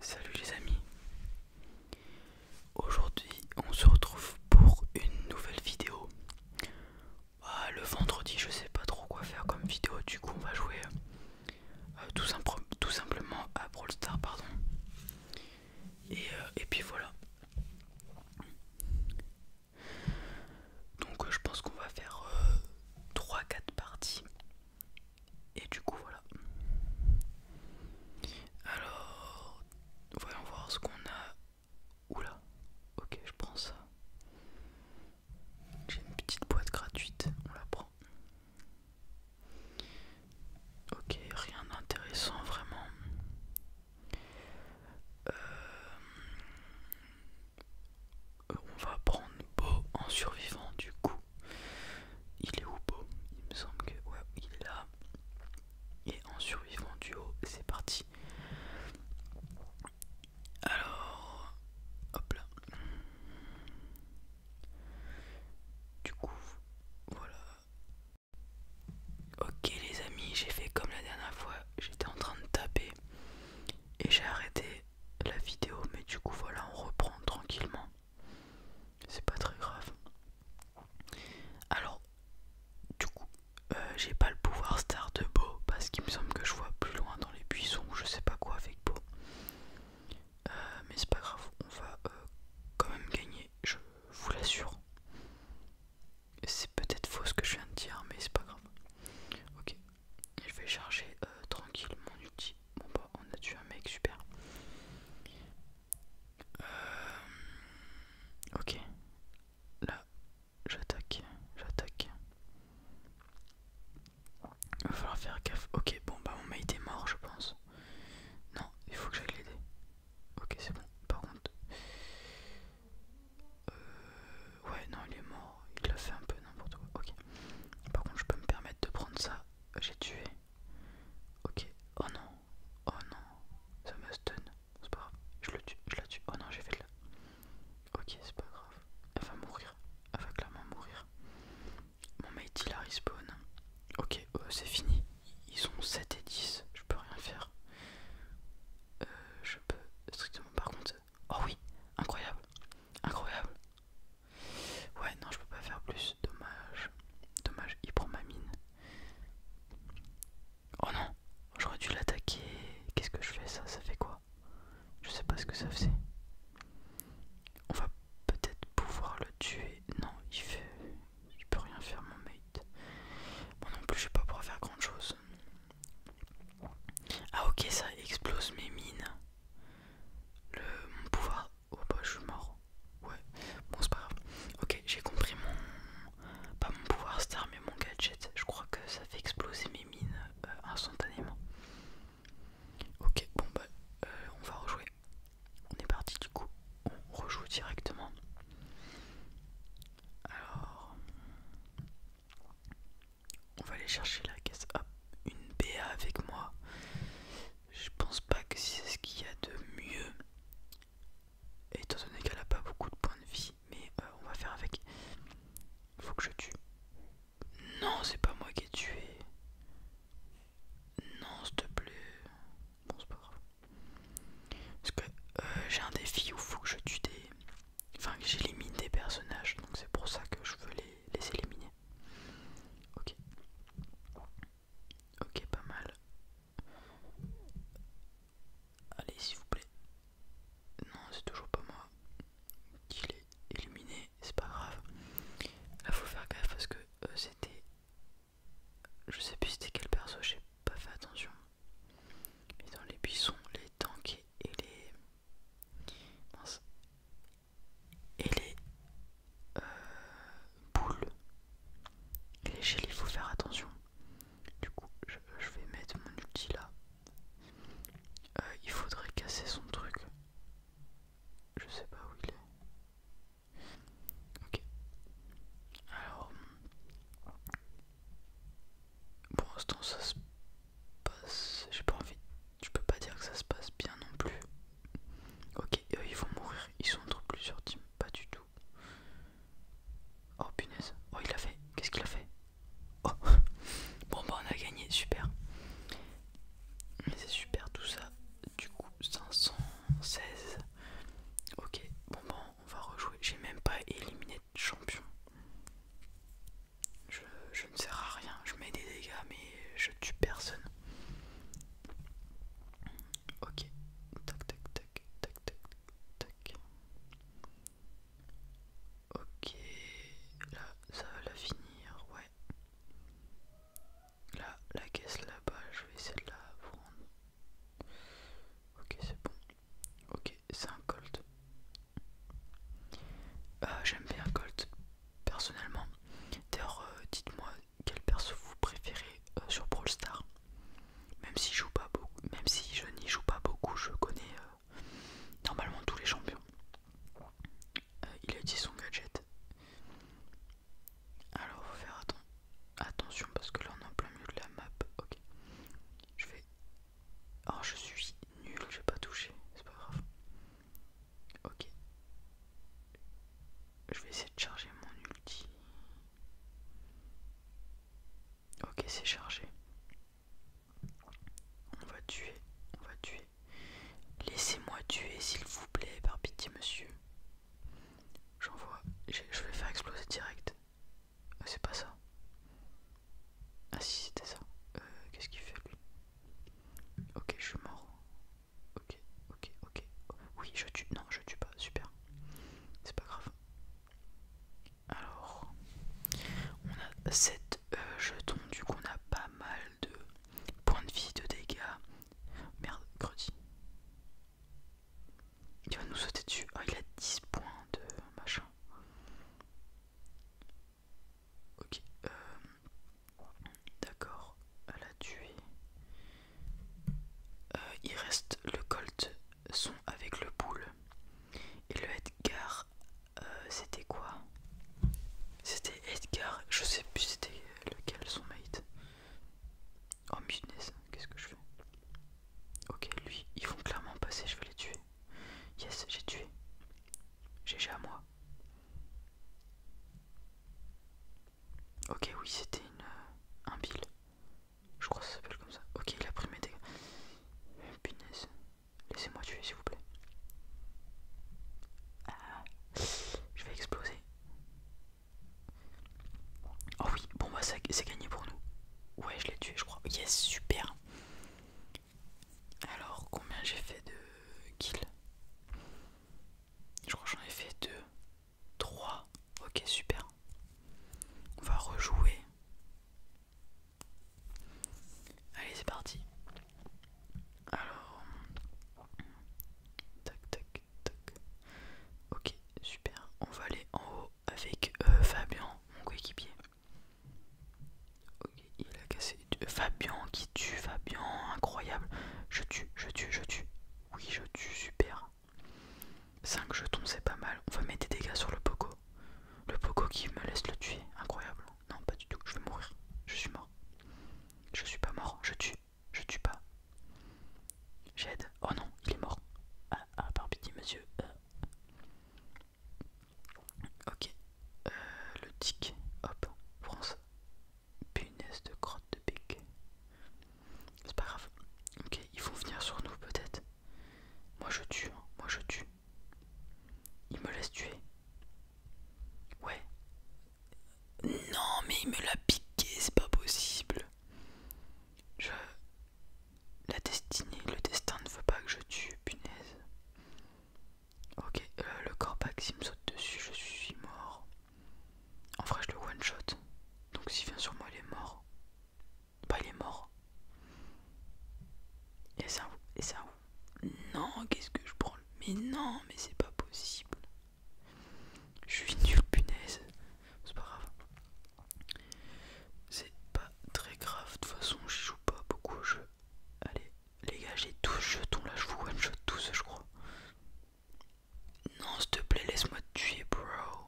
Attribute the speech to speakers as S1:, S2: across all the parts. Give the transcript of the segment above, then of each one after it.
S1: Salut les amis, aujourd'hui on se retrouve pour une nouvelle vidéo. Ah, le vendredi je sais pas trop quoi faire comme vidéo, du coup on va jouer euh, tout, simplement à Brawl Star pardon. Euh, et, puis voilà. Donc euh, je pense qu'on va faire 3-4 parties. Et du coup voilà. Alors, voyons voir ce qu'on a. Oula, ok, je prends ça. J'ai une petite boîte gratuite, on la prend. Ok, rien d'intéressant vraiment. Euh, on va prendre Beau en survivant du coup. Il est où Beau Il me semble que ouais, il est là. Et en survivant du haut, c'est parti. Alors, hop là. Du coup, voilà. Ok les amis, j'ai fait comme la dernière fois, j'étais en train de taper et j'ai arrêté la vidéo, mais du coup voilà, on reprend tranquillement. C'est pas très grave. Alors, du coup, euh, j'ai pas le pouvoir star de Beau parce qu'il me semble que je vois plus loin dans les buissons, je sais pas quoi avec Beau. Euh, mais c'est pas grave, on va euh, quand même gagner, je vous l'assure. C'est peut-être faux ce que je viens de dire, mais c'est pas grave. Ok, je vais charger euh, tranquillement mon outil. Bon bah on a tué un mec super. Euh, ok. Là, j'attaque, j'attaque. Il va falloir faire gaffe. Ok, bon bah mon mate est mort je pense. Non, il faut que j'aille l'aider. Ok c'est bon. Par contre. Euh, ouais, non, il est mort. Il l'a fait un peu n'importe quoi. Ok. Par contre, je peux me permettre de prendre ça. J'ai tué. Ok. Oh non. Oh non. Ça me stun. C'est pas grave. Je le tue. Je la tue. Oh non, j'ai fait le... Ok, c'est pas grave. Elle va mourir. Elle va clairement mourir. Mon mate, il a respawn. Ok, euh, c'est fini. Ils sont 7 et 10. Je peux rien faire. Euh, je peux strictement par contre. Oh oui, incroyable, incroyable. Ouais, non, je peux pas faire plus, dommage. Dommage, il prend ma mine. Oh non, j'aurais dû l'attaquer. Qu'est-ce que je fais ça Ça fait quoi Je sais pas ce que ça fait On va peut-être pouvoir le tuer. Non, il fait. Il peut rien faire, mon mec bon non plus, je pas pouvoir faire grand chose. Ah, ok, ça explose mes mines. Le, mon pouvoir. Oh bah, je suis mort. Ouais, bon, c'est pas grave. Ok, j'ai compris mon. Pas mon pouvoir star, mais mon gadget. Je crois que ça fait exploser mes mines euh, instantanément. Ok, bon, bah, euh, on va rejouer. On est parti du coup, on rejoue directement. Alors, on va aller chercher la caisse. Hop, une BA avec moi. Je pense pas que c'est ce qu'il y a de mieux. Étant donné qu'elle a pas beaucoup de points de vie, mais euh, on va faire avec. Faut que je tue. Non, c'est pas moi qui ai tué. Non, s'il te plaît. Bon, c'est pas grave. Parce que euh, j'ai un défi où il faut que je tue des. Enfin, que j'élimine des personnages, donc c'est pour ça que je veux les, éliminer. Ok. Ok, pas mal. Allez, s'il vous plaît. Non, c'est toujours pas moi qui l'ai éliminé, c'est pas grave. Là, faut faire gaffe parce que euh, c'était je sais plus c'était quel perso, j'ai pas fait attention. Mais dans les buissons, les tanks et les. Et les. Euh, boules. les il faut faire attention. Du coup, je, vais mettre mon outil là. Euh, il faudrait casser son truc. Je sais pas où il est. Ok. Alors, pour l'instant, ça se passe. J'ai pas envie. Je peux pas dire que ça se passe bien non plus. Ok, ils vont mourir. Ils sont entre plusieurs teams. Pas du tout. Oh punaise. Oh, il a fait. Qu'est-ce qu'il a fait oh. Bon, bah, on a gagné. Super. Mais c'est super tout ça. Du coup, 500. 16. Ok, bon bon, on va rejouer. J'ai même pas éliminé de champion. Je, ne sers à rien. Je mets des dégâts, mais je tue personne. Ok, tac tac tac tac tac tac. Ok, là ça va la finir, ouais la caisse là-bas, je vais essayer de la prendre. Ok, c'est bon. Ok, c'est un Colt. Euh, j'aime bien Colt, personnellement. D'ailleurs, euh, dites-moi quelle perso vous préférez euh, sur Brawl Même si je joue pas beaucoup, même si je n'y joue pas beaucoup, je connais normalement tous les champions. Euh, il a dit son gadget. Alors faut faire attention parce que là on est en plein milieu de la map. Ok. Je vais. Alors oh, je suis nul, j'ai pas touché, c'est pas grave. Ok. Je vais essayer de charger mon ulti. Ok c'est chargé. On va tuer, on va tuer. Laissez-moi tuer, s'il vous plaît, par pitié, monsieur. vois, Je vais faire exploser direct. Euh, c'est pas ça. Ah, si, c'était ça. Euh, qu'est-ce qu'il fait, lui Ok, je suis mort. Ok, ok, ok. Oui, je tue. Non, je tue pas. Super. C'est pas grave. Alors, on a cette euh, jetons, du coup, on a pas mal de Point de vie de dégâts. Merde, Mercredi. Il va nous sauter dessus. Ah, il a 10 points de machin. Ok. Euh, d'accord. Elle a tué. Euh, il reste le Colt son avec le boule. Et le Edgar euh, c'était quoi C'était Edgar, je sais plus c'était lequel son mate. Oh punaise, qu'est-ce que je fais Ok, lui, ils vont clairement passer, je vais les tuer. Yes, j'ai tué. GG à moi. Ok, oui, c'était une... Euh, un bill. Je crois que ça s'appelle comme ça. Ok, il a pris mes dégâts. Laissez-moi tuer, s'il vous plaît. Ah. je vais exploser. Oh oui, bon bah c'est gagné pour nous. Ouais, je l'ai tué, je crois. Yes, super. Alors, combien j'ai fait de kills Je crois que j'en ai fait deux. Trois. Ok, super. On va rejouer. Allez, c'est parti. Alors, tac, tac, tac. Ok, super. On va aller en haut avec euh, Fabian, Fabien, mon coéquipier. Ok, il a cassé. Euh, Fabien qui tue, Fabien, incroyable. Je tue, je tue, je tue. Oui, je tue, super. 5 jetons, c'est pas mal. On va mettre des dégâts sur le Poco. Le poco qui me laisse le tuer, incroyable. Non, pas du tout, je vais mourir. Je suis mort. Je suis pas mort, je tue. Je tue pas. J'aide. Oh non, il est mort. Ah, ah par monsieur. Euh. Ok. Euh, le tic. Hop, France. Punaise de grotte de pique C'est pas grave. Ok, ils vont venir sur nous peut-être. Moi je tue, hein. moi je tue. Il me laisse tuer. Ouais. Non, mais il me l'a piqué, c'est pas possible. Je. La destinée, le destin ne veut pas que je tue, punaise. Ok, euh, le le corps il me saute dessus, je suis mort. En vrai, je le one shot. Donc s'il vient sur moi, il est mort. Bah il est mort. Et ça Et ça Non, qu'est-ce que je prends Mais non, mais c'est pas possible. Je suis nul, punaise. C'est pas grave. C'est pas très grave. De toute façon, je joue pas beaucoup au jeu. Allez, les gars, j'ai 12 jetons là. Je vous one shot tous, je crois. Non, s'il te plaît, laisse-moi tuer, bro.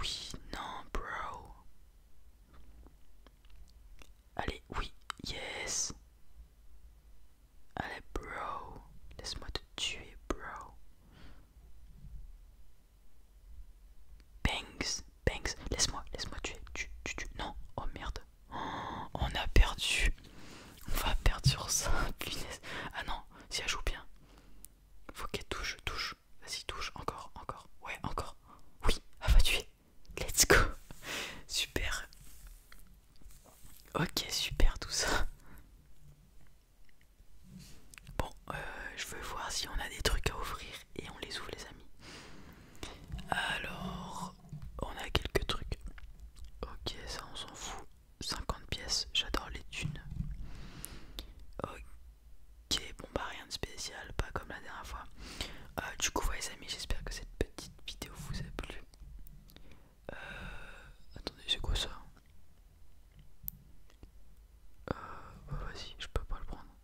S1: Oui, non, bro. Allez, oui, yes. Allez, bro. Laisse-moi te tuer, bro. Banks, Banks, laisse-moi, laisse-moi tuer, tu, tu, tu. Non, oh merde. Oh, on a perdu. On va perdre sur ça, Ah non, si elle joue bien. Faut qu'elle touche, touche. Vas-y, touche. Encore, encore. Ouais, encore. Oui, à ah va bah, tuer. Let's go. Super. Ok, super tout ça. Bon, euh, je veux voir si on a des trucs à ouvrir et on les ouvre les amis. Alors, on a quelques trucs. Ok, ça on s'en fout. 50 pièces, j'adore les thunes. Ok, bon bah rien de spécial, pas comme la dernière fois. Euh, du coup, voilà les amis, j'espère que cette petite vidéo vous a plu. Euh, attendez, c'est quoi ça euh, Vas-y, je peux pas le prendre.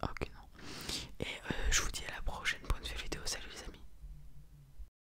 S1: Ah, ok, non. Et euh, je vous dis à la prochaine pour une nouvelle vidéo. Salut les amis.